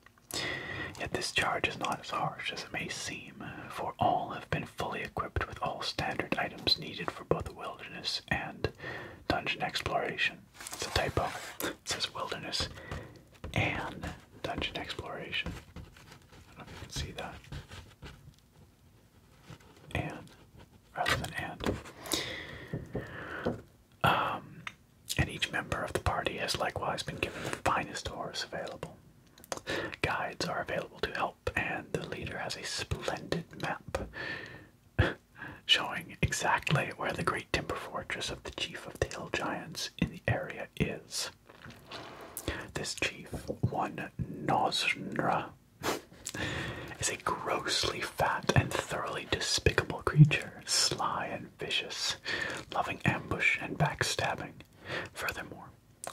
Yet this charge is not as harsh as it may seem, for all have been fully equipped with all standard items needed for both wilderness and dungeon exploration. It's a typo. It says wilderness and dungeon exploration. I don't know if you can see that. And rather than and. Um, and each member of the party has likewise been given the finest horse available. Guides are available to help, and the leader has a splendid map showing exactly where the great timber fortress of the chief of the hill giants in the area is. This chief, one Nosnra, is a grossly fat and thoroughly despicable creature, sly and vicious, loving ambush and backstabbing. Furthermore,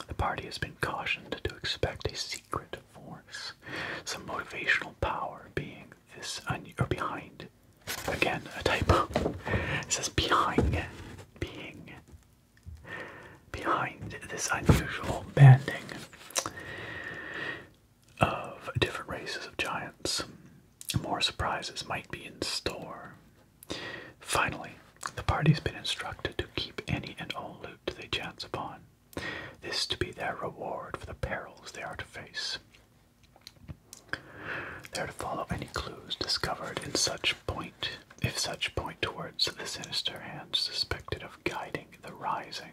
the party has been cautioned to expect a secret force, some motivational power being this un or behind. Again, a typo. It says behind being behind this unusual banding of different races of giants. More surprises might be in store. Finally, the party's been instructed to keep any and all loot they chance upon, this to be their reward for the perils they are to face. They are to follow any clues discovered in such point, if such point towards the sinister hand suspected of guiding the rising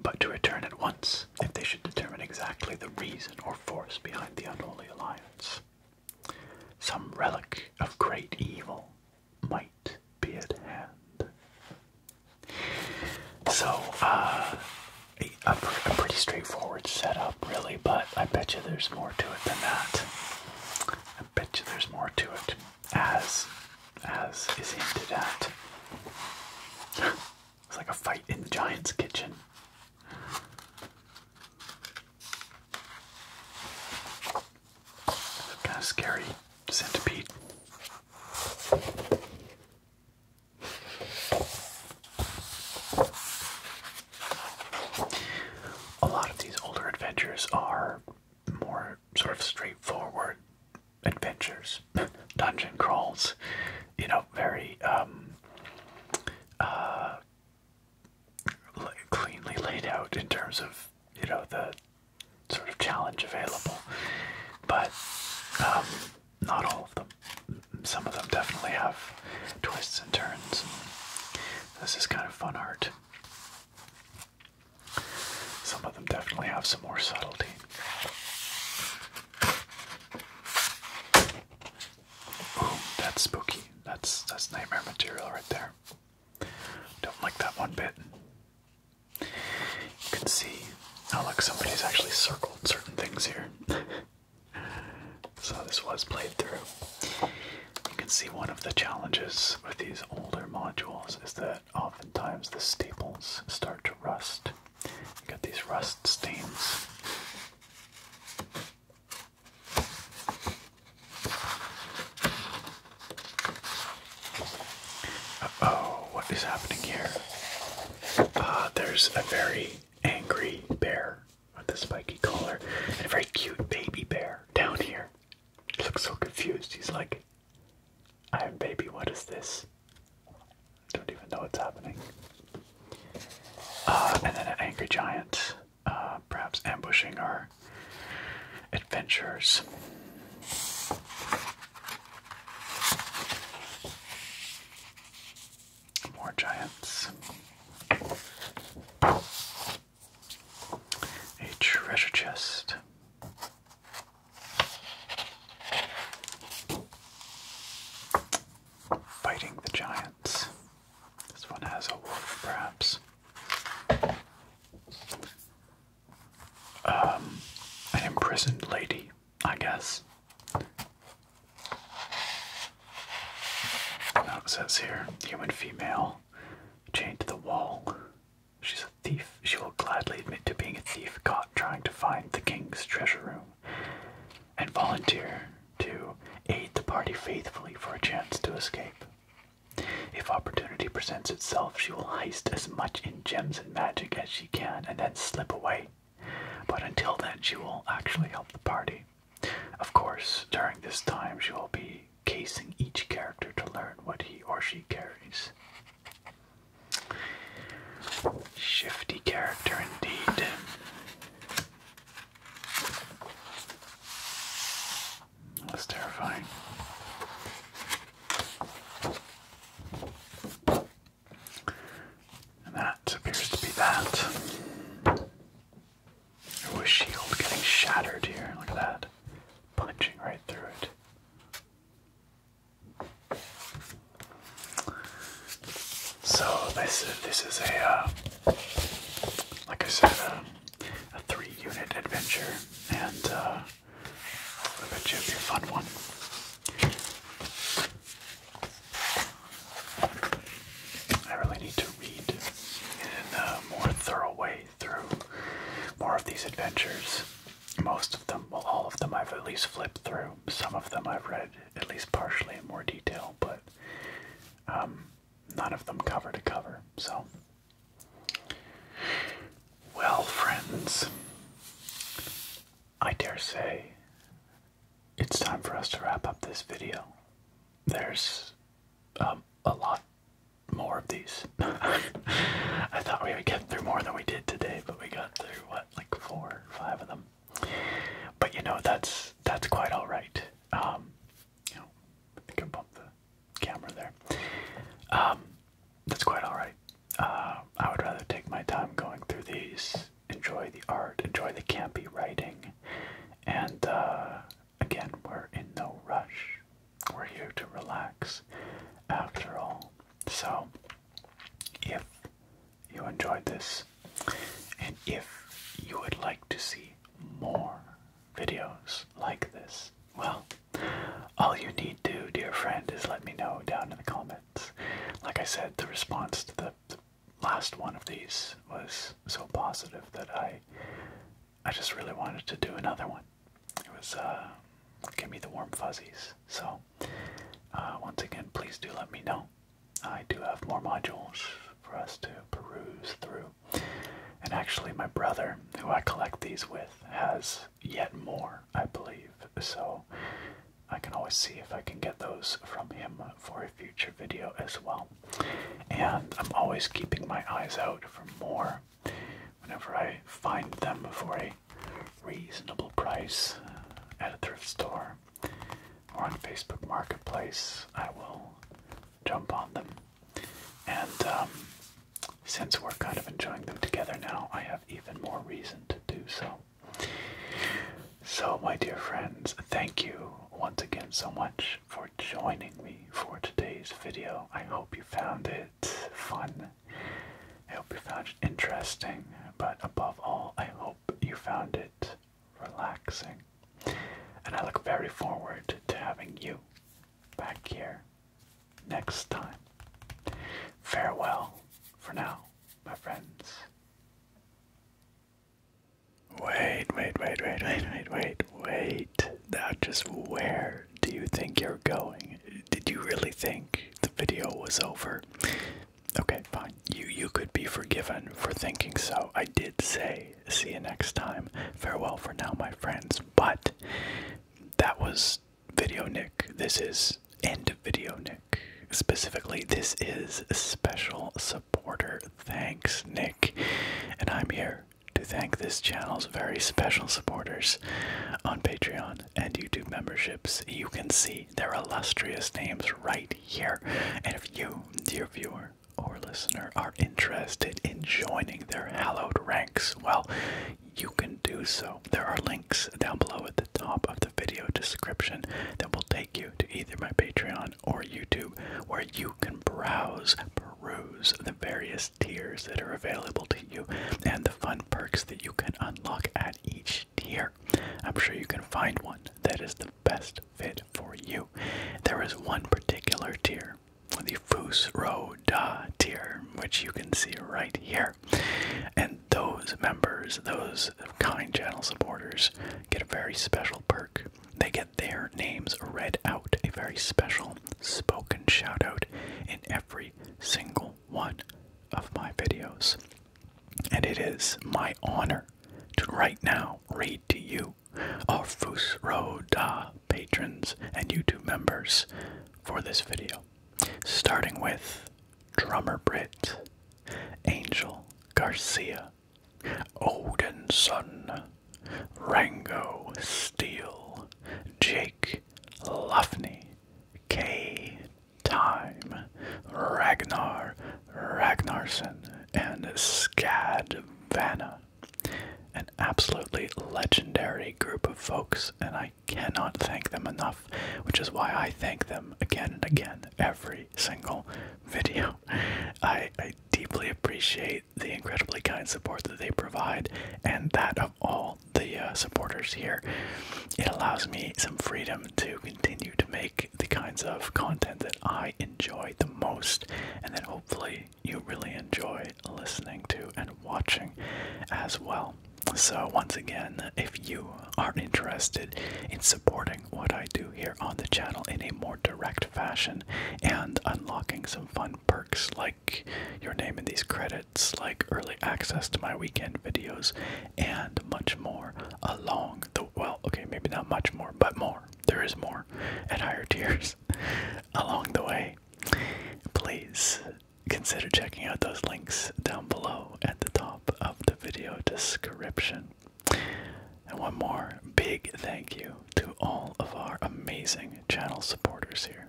but to return at once if they should determine exactly the reason or force behind the unholy alliance. Some relic of great evil might be at hand. So, uh, a, a pretty straightforward setup, really, but I bet you there's more to it than that. I bet you there's more to it. As as is hinted at. it's like a fight in the giant's kitchen. kind of scary centipede. A lot of these older adventures are more sort of straightforward adventures, dungeon crawls, you know, very um, uh, cleanly laid out in terms of, you know, the sort of challenge available. But um, not all of them. Some of them definitely have twists and turns. This is kind of fun art. Some of them definitely have some more subtlety. Ooh, that's spooky. That's that's nightmare material right there. Don't like that one bit. You can see how oh, like somebody's actually circled certain things here. so this was played through. You can see one of the challenges with these older modules is that oftentimes the staples start to rust. You get these rust stains. oh, what is happening here? Uh, there's a very angry bear with a spiky collar and a very cute baby bear down here. He looks so confused. He's like, Iron Baby, what is this? Don't even know what's happening. Uh, and then an angry giant, uh, perhaps ambushing our adventures. More giants. A treasure chest. Fighting the giants. This one has a wolf, perhaps. Um, an imprisoned lady, I guess. it says here human female chained to the wall. She thief. She will gladly admit to being a thief caught trying to find the king's treasure room and volunteer to aid the party faithfully for a chance to escape. If opportunity presents itself, she will heist as much in gems and magic as she can and then slip away. But until then, she will actually help the party. Of course, during this time, she will be casing each character to learn what he or she carries. Shifty character indeed. That's terrifying. And that appears to be that. Oh, shield getting shattered here. Look at that. Punching right through it. So this this is a uh, like I said uh, a, three unit adventure and uh, I bet you it will be a fun one. I really need to read in a more thorough way through more of these adventures. Most of them, well, all of them I've at least flipped through. Some of them I've read at least partially in more detail, but um, none of them cover to cover. So, well, friends, I dare say it's time for us to wrap up this video. There's um, a lot more of these. I thought we would get through more than we did today, but we got through what like four five of them but you know that's that's quite all right um, you know i think i the camera there um, that's quite all right uh, i would rather take my time going through these enjoy the art enjoy the campy writing and uh, again we're in no rush we're here to relax after all so if you enjoyed this, and if you would like to see more videos like this, well, all you need to, dear friend, is let me know down in the comments. Like I said, the response to the, the last one of these was so positive that I, I just really wanted to do another one. It was, uh, give me the warm fuzzies. So, uh, once again, please do let me know. I do have more modules for us to peruse through. And actually, my brother, who I collect these with, has yet more, I believe. So, I can always see if I can get those from him for a future video as well. And I'm always keeping my eyes out for more whenever I find them before a reasonable price uh, at a thrift store or on Facebook Marketplace, I will jump on them. And um, since we're kind of enjoying them together now, I have even more reason to do so. So, my dear friends, thank you once again so much for joining me for today's video. I hope you found it fun. I hope you found it interesting, but above all, I hope you found it relaxing. And I look very forward to having you back here next time. Farewell for now, my friends. Wait, wait, wait, wait, wait, wait, wait, wait. just where do you think you're going? did you really think the video was over? Okay, fine. You you could be forgiven for thinking so. I did say see you next time. Farewell for now, my friends. But that was video Nick. This is end of video Nick. Specifically, this is special supporter. Thanks, Nick. And I'm here to thank this channel's very special supporters on Patreon and YouTube memberships, you can see their illustrious names right here. And if you, dear viewer or listener, are interested in joining their hallowed ranks, well, you can do so. There are links down below at the top of the video description that will take you to either my Patreon or YouTube, where you can browse, peruse the various tiers that are available to you and the fun perks that you can unlock at each tier. I'm sure you can find one that is the best fit for you. There is one particular tier, the Foos Da tier, which you can see right here. And those members, those kind channel supporters, get a very special perk. They get their names read out, a very special spoken shout out in every single one of my videos. And it is my honor to right now read to you, our Fusroda patrons and YouTube members, for this video. Starting with Drummer Brit, Angel Garcia, Odinson, Rango Steele, Jake Luffney, K time. Ragnar Ragnarsson and Skad Vanna. An absolutely legendary group of folks, and I cannot thank them enough, which is why I thank them again and again every single video. I, I deeply appreciate the incredibly kind support that they provide, and that of all the uh, supporters here, it allows me some freedom to continue to make the kinds of content that I enjoy the most, and that hopefully you really enjoy listening to and watching as well. So, once again, if you are interested in supporting what I do here on the channel in a more direct fashion and unlocking some fun perks like your name in these credits, it's like early access to my weekend videos and much more along the well, okay, maybe not much more, but more. There is more at higher tiers along the way. Please consider checking out those links down below at the top of the video description. And one more big thank you to all of our amazing channel supporters here.